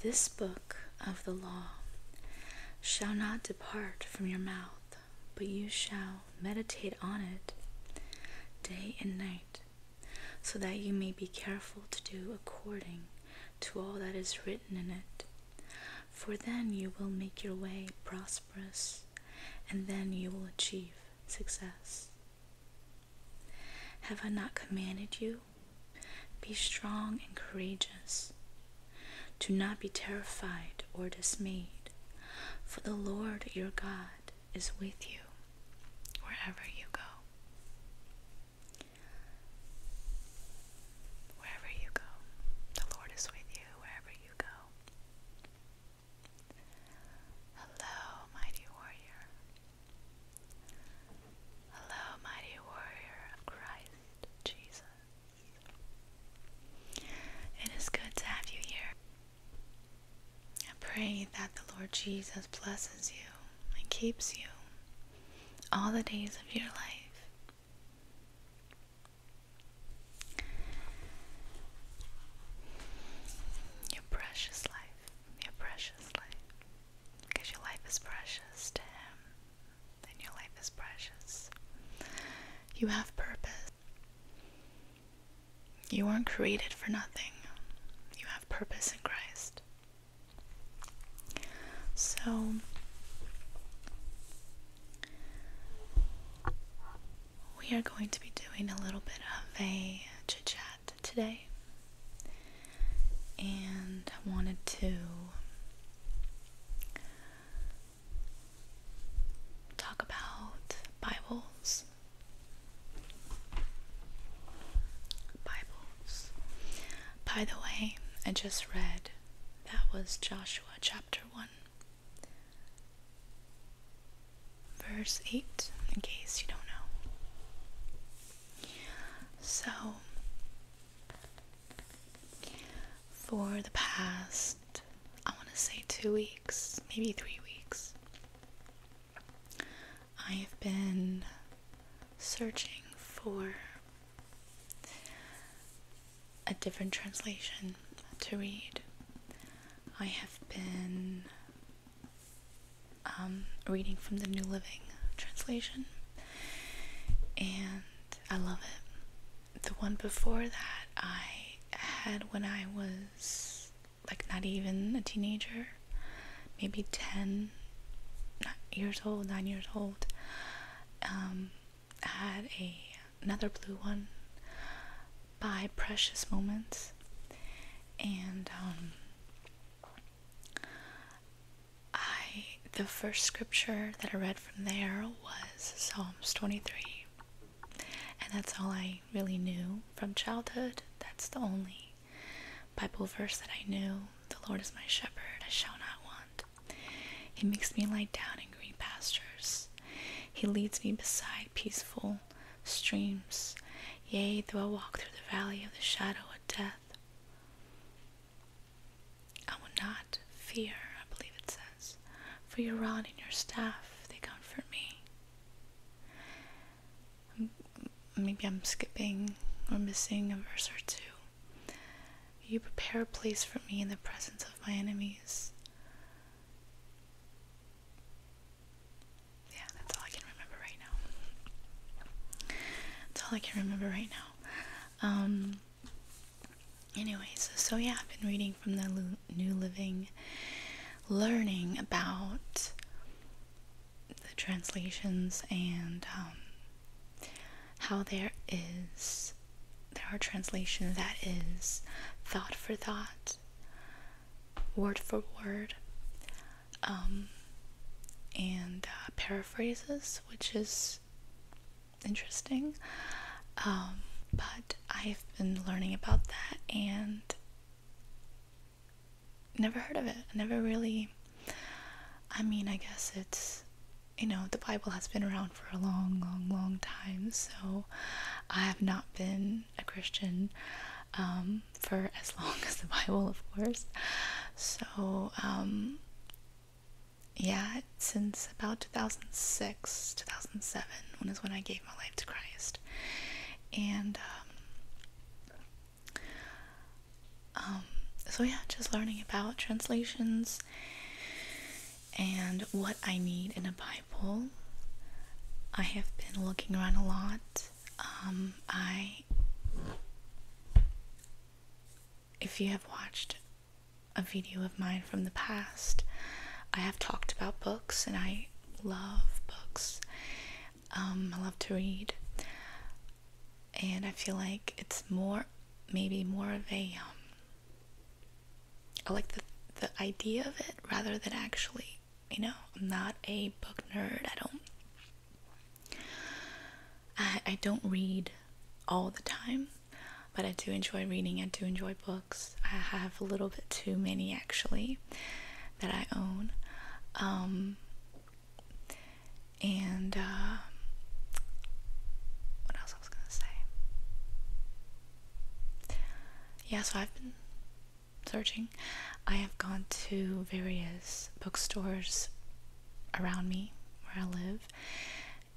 This book of the law shall not depart from your mouth, but you shall meditate on it day and night, so that you may be careful to do according to all that is written in it for then you will make your way prosperous, and then you will achieve success. Have I not commanded you? Be strong and courageous. Do not be terrified or dismayed, for the Lord your God is with you wherever you go. Wherever you go, the Lord is with you wherever you go. Hello, mighty warrior. Hello, mighty warrior of Christ Jesus. It is good to have you here. I pray that the Lord Jesus blesses you and keeps you all the days of your life, your precious life, your precious life. Because your life is precious to Him, then your life is precious. You have purpose. You weren't created for nothing, you have purpose in Christ. So, we are going to be doing a little bit of a chit chat today, and I wanted to talk about Bibles. Bibles. By the way, I just read that was Joshua chapter 1. Verse 8, in case you don't know. So, for the past, I want to say two weeks, maybe three weeks, I have been searching for a different translation to read. I have been um, reading from the New Living translation, and I love it. The one before that I had when I was like not even a teenager, maybe 10 years old, 9 years old. Um, I had a another blue one by Precious Moments, and um, I the first scripture that I read from there was Psalms 23, and that's all I really knew from childhood. That's the only Bible verse that I knew. The Lord is my shepherd; I shall not want. He makes me lie down in green pastures. He leads me beside peaceful streams. Yea, though I walk through the valley of the shadow of death, I will not fear, I believe it says, for your rod and your staff, they comfort me. Maybe I'm skipping or missing a verse or two. You prepare a place for me in the presence of my enemies. Yeah, that's all I can remember right now. That's all I can remember right now. Um, anyways, so yeah, I've been reading from the New Living, learning about the translations and um, how there is there are translations that is thought for thought, word for word, um, and uh, paraphrases, which is interesting. Um, but I've been learning about that and never heard of it. never really. I mean, I guess it's. You know, the Bible has been around for a long, long, long time, so I have not been a Christian um, for as long as the Bible, of course. So, um, yeah, since about 2006, 2007, when is when I gave my life to Christ. And um, um, so, yeah, just learning about translations and what I need in a Bible. I have been looking around a lot. Um, I, if you have watched a video of mine from the past, I have talked about books and I love books. Um, I love to read, and I feel like it's more, maybe more of a. Um, I like the the idea of it rather than actually, you know, I'm not a book nerd. I don't. I I don't read all the time, but I do enjoy reading. I do enjoy books. I have a little bit too many actually that I own. Um, and uh, what else I gonna say? Yeah, so I've been searching. I have gone to various bookstores around me where I live,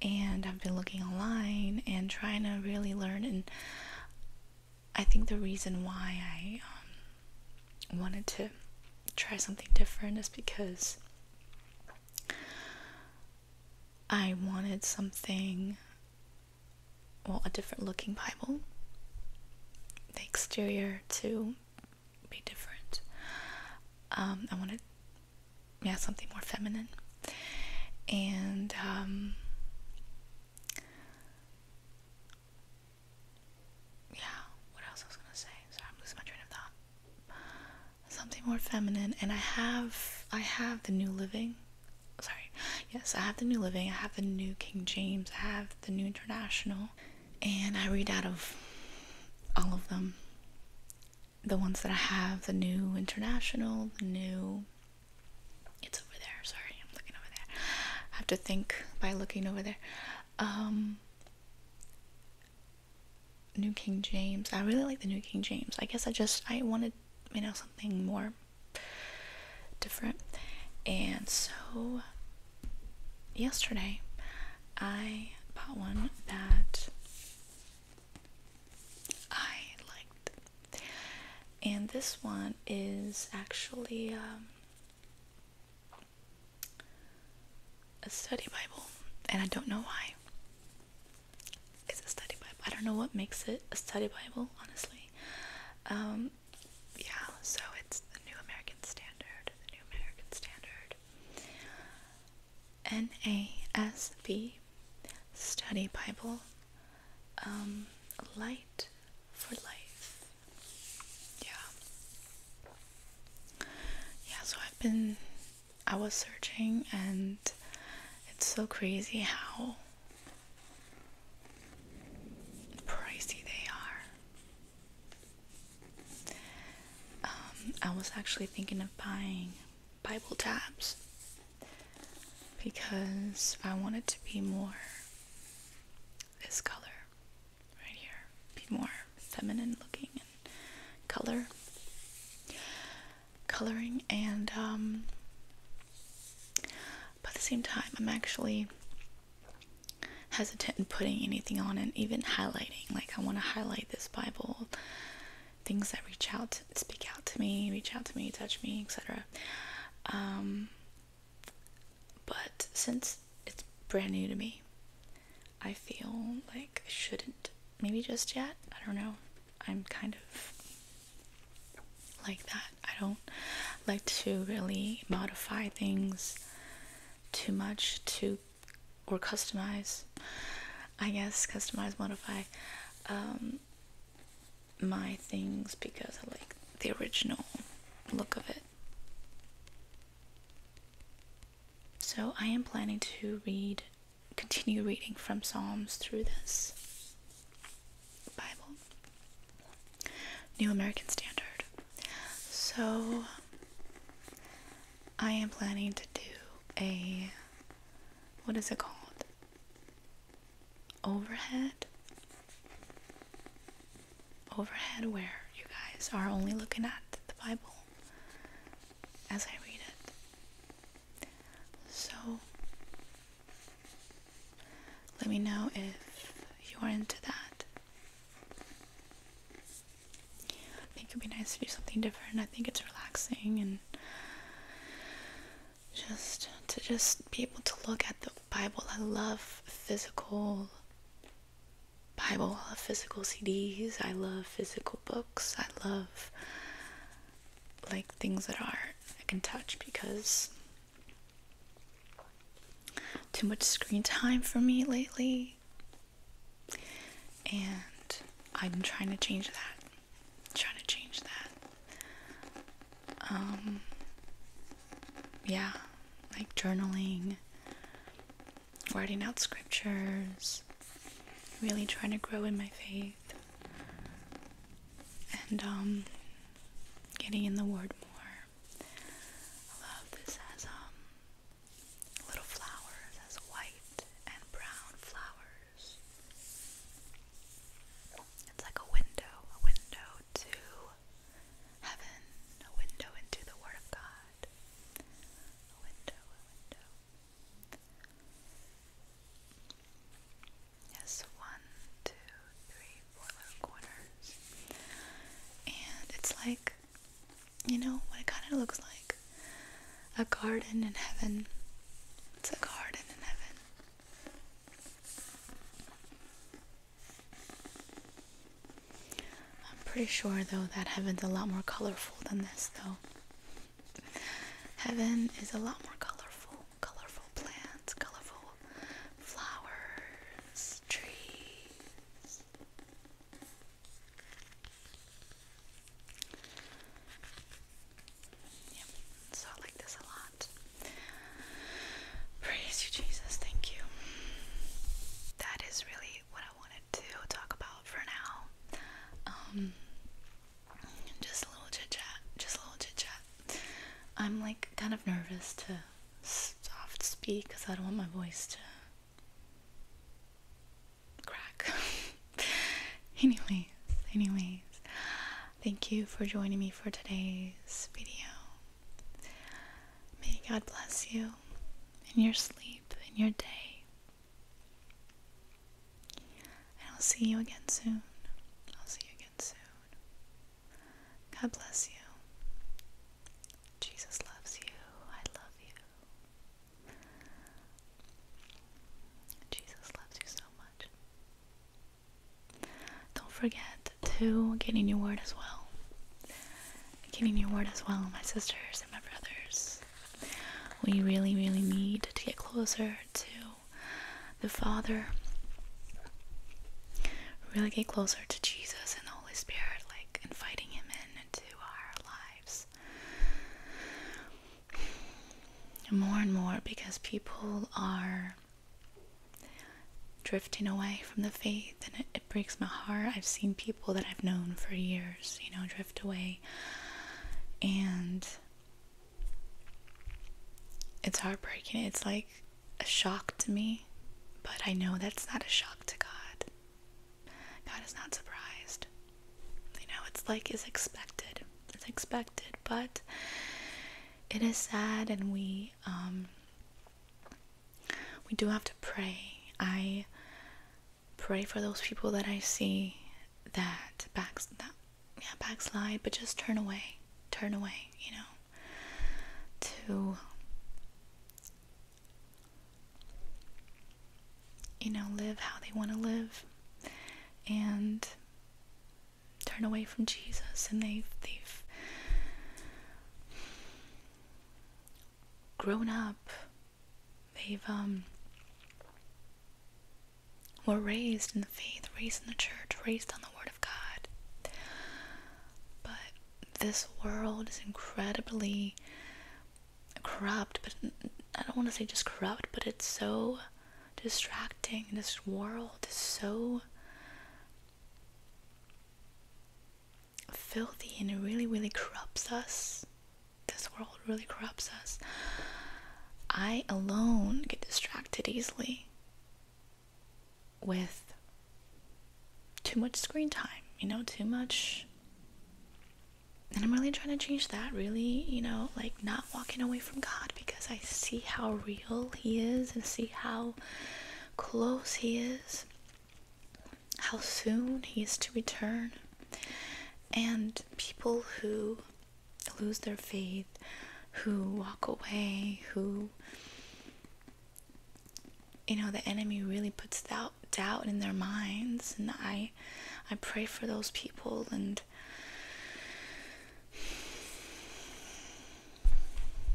and I've been looking online and trying to really learn. And I think the reason why I um, wanted to try something different is because I wanted something, well, a different looking Bible. The exterior to be different. Um, I wanted, yeah, something more feminine. And um, yeah, what else I was gonna say? Sorry, I'm losing my train of thought. Something more feminine, and I have I have the New Living. Sorry, yes, I have the New Living. I have the New King James. I have the New International, and I read out of all of them. The ones that I have, the New International, the New. It's over there. Sorry, looking over there. I have to think by looking over there. Um, New King James. I really like the New King James. I guess I just I wanted you know something more different, and so yesterday I bought one that I liked, and this one is actually um, a study Bible, and I don't know why. It's a study Bible. I don't know what makes it a study Bible, honestly. Um, yeah, so it's the New American Standard, the New American Standard, NASB, Study Bible, um, Light for life. Yeah. Yeah, so I've been I was searching and it's so crazy how pricey they are. Um, I was actually thinking of buying Bible tabs because I wanted to be more this color right here. Be more feminine looking and color. Coloring and um but at the same time I'm actually hesitant in putting anything on and even highlighting. Like I wanna highlight this Bible things that reach out speak out to me, reach out to me, touch me, etc. But since it's brand new to me, I feel like I shouldn't. Maybe just yet. I don't know. I'm kind of like that. I don't like to really modify things too much to or customize. I guess customize, modify. Um, my things because I like the original look of it. So I am planning to read, continue reading from Psalms through this Bible, New American Standard. So I am planning to do a, what is it called? Overhead overhead where you guys are only looking at the Bible as I read it. So let me know if you are into that. I think it would be nice to do something different. I think it's relaxing and just to just be able to look at the Bible. I love physical Bible. I love physical CDs. I love physical books. I love like things that are I can touch because too much screen time for me lately. And I'm trying to change that. trying to change that. Um, yeah, like journaling, writing out scriptures, really trying to grow in my faith, and um, getting in the Word more. I love this has um, little flowers, has white and brown flowers. It's like a window, a window to heaven, a window into the Word of God. A window, Yes, one, two, three, four little corners. And it's like, you know, what it kind of looks like a garden in heaven. It's a garden in heaven. I'm pretty sure though that heaven's a lot more colorful than this though. Heaven is a lot more colorful. Colorful plants, colorful flowers, trees. Yep, so I like this a lot. Praise you, Jesus. Thank you. That is really what I wanted to talk about for now. Um, just a little chit chat. Just a little chit chat. I'm like kind of nervous to soft speak because I don't want my voice to crack. anyway, anyways, thank you for joining me for today's video. May God bless you in your sleep, in your day. And I'll see you again soon. I'll see you again soon. God bless you. Jesus loves you. I love you. Jesus loves you so much. Don't forget to get in your word as well. Get in your word as well, my sisters and my brothers. We really, really need to get closer to the Father. Really get closer to Jesus and the Holy Spirit, like inviting Him in into our lives more and more because people are drifting away from the faith and it, breaks my heart. I've seen people that I've known for years, you know, drift away and it's heartbreaking. It's like a shock to me, but I know that's not a shock to God. God is not surprised you know, it's like is expected. is expected, but it is sad and we um we do have to pray. I pray for those people that I see that backs that yeah, backslide, but just turn away. Turn away, you know. To you know, live how they want to live and turn away from Jesus and they've they've grown up. They've um were raised in the faith, raised in the church, raised on the word of God. But this world is incredibly corrupt, but I don't want to say just corrupt, but it's so distracting. This world is so filthy and it really, really corrupts us. This world really corrupts us. I alone get distracted easily with too much screen time, you know, too much and I'm really trying to change that, really, you know, like not walking away from God because I see how real He is and see how close He is, how soon He is to return. And people who lose their faith, who walk away, who, you know, the enemy really puts doubt, doubt in their minds. And I I pray for those people and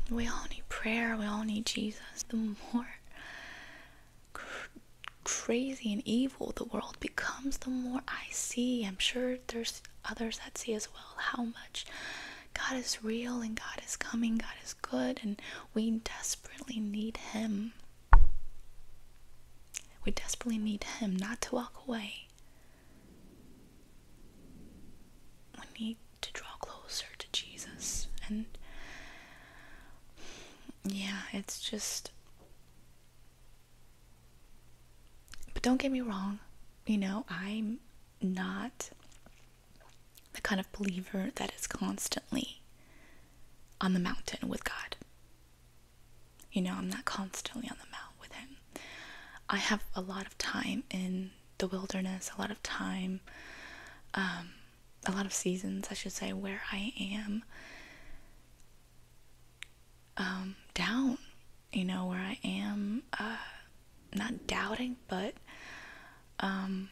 we all need prayer, we all need Jesus. The more crazy and evil the world becomes, the more I see. I'm sure there's others that see as well how much God is real and God is coming, God is good, and we desperately need Him. We desperately need Him not to walk away. We need to draw closer to Jesus. And yeah, it's just. But don't get me wrong, you know, I'm not the kind of believer that is constantly on the mountain with God. You know, I'm not constantly on the mount with him. I have a lot of time in the wilderness, a lot of time, um, a lot of seasons, I should say, where I am um, down, you know, where I am uh, not doubting, but um,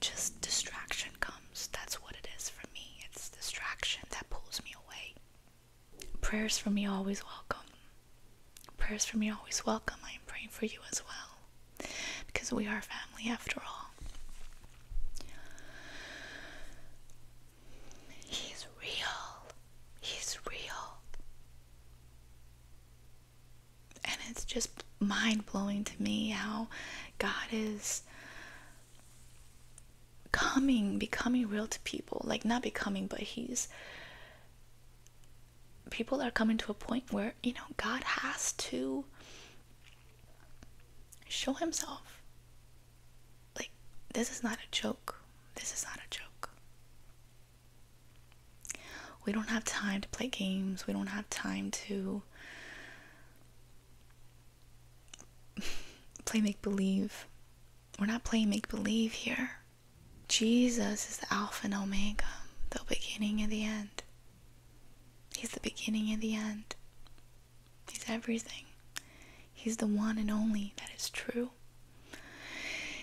just distraction comes. That's what it is for me. It's distraction that pulls me away. Prayers for me always welcome. Prayers for me always welcome. I am praying for you as well. Because we are family after all. He's real. He's real. And it's just mind blowing to me how God is coming becoming real to people like not becoming but he's people are coming to a point where you know god has to show himself like this is not a joke this is not a joke we don't have time to play games we don't have time to play make believe. We're not playing make believe here. Jesus is the Alpha and Omega, the beginning and the end. He's the beginning and the end. He's everything. He's the one and only that is true.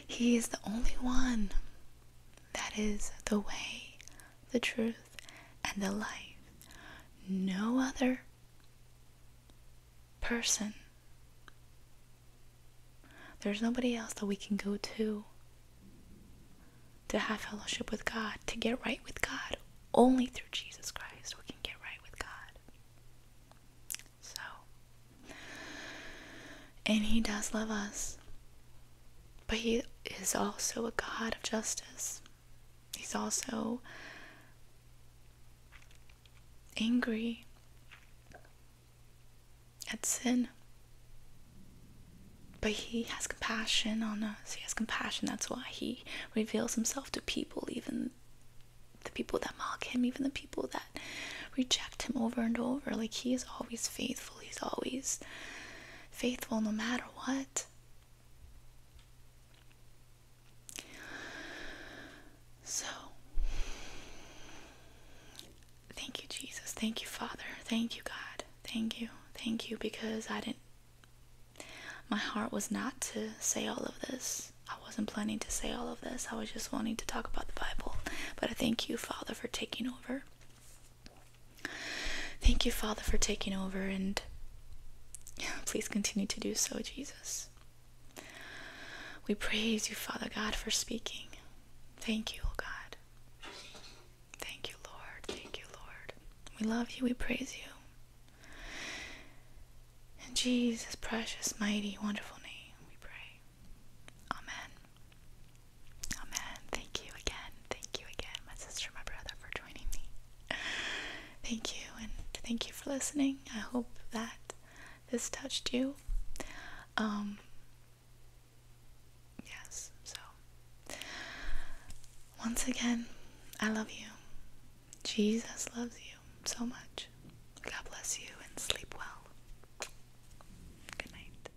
He is the only one that is the way, the truth, and the life. No other person. There's nobody else that we can go to to have fellowship with God, to get right with God. Only through Jesus Christ we can get right with God. So, and He does love us. But He is also a God of justice. He's also angry at sin. But He has compassion on us. He has compassion. That's why He reveals Himself to people, even the people that mock Him, even the people that reject Him over and over. Like He is always faithful. He's always faithful no matter what. So, thank you, Jesus. Thank you, Father. Thank you, God. Thank you. Thank you because I didn't. My heart was not to say all of this. I wasn't planning to say all of this. I was just wanting to talk about the Bible. But I thank you, Father, for taking over. Thank you, Father, for taking over, and please continue to do so, Jesus. We praise you, Father God, for speaking. Thank you, oh God. Thank you, Lord. Thank you, Lord. We love you. We praise you. In Jesus' precious, mighty, wonderful name, we pray. Amen. Oh, Amen. thank you again. Thank you again, my sister, my brother, for joining me. Thank you, and thank you for listening. I hope that this touched you. Um, yes, so once again, I love you. Jesus loves you so much. God bless you and sleep well. Good night.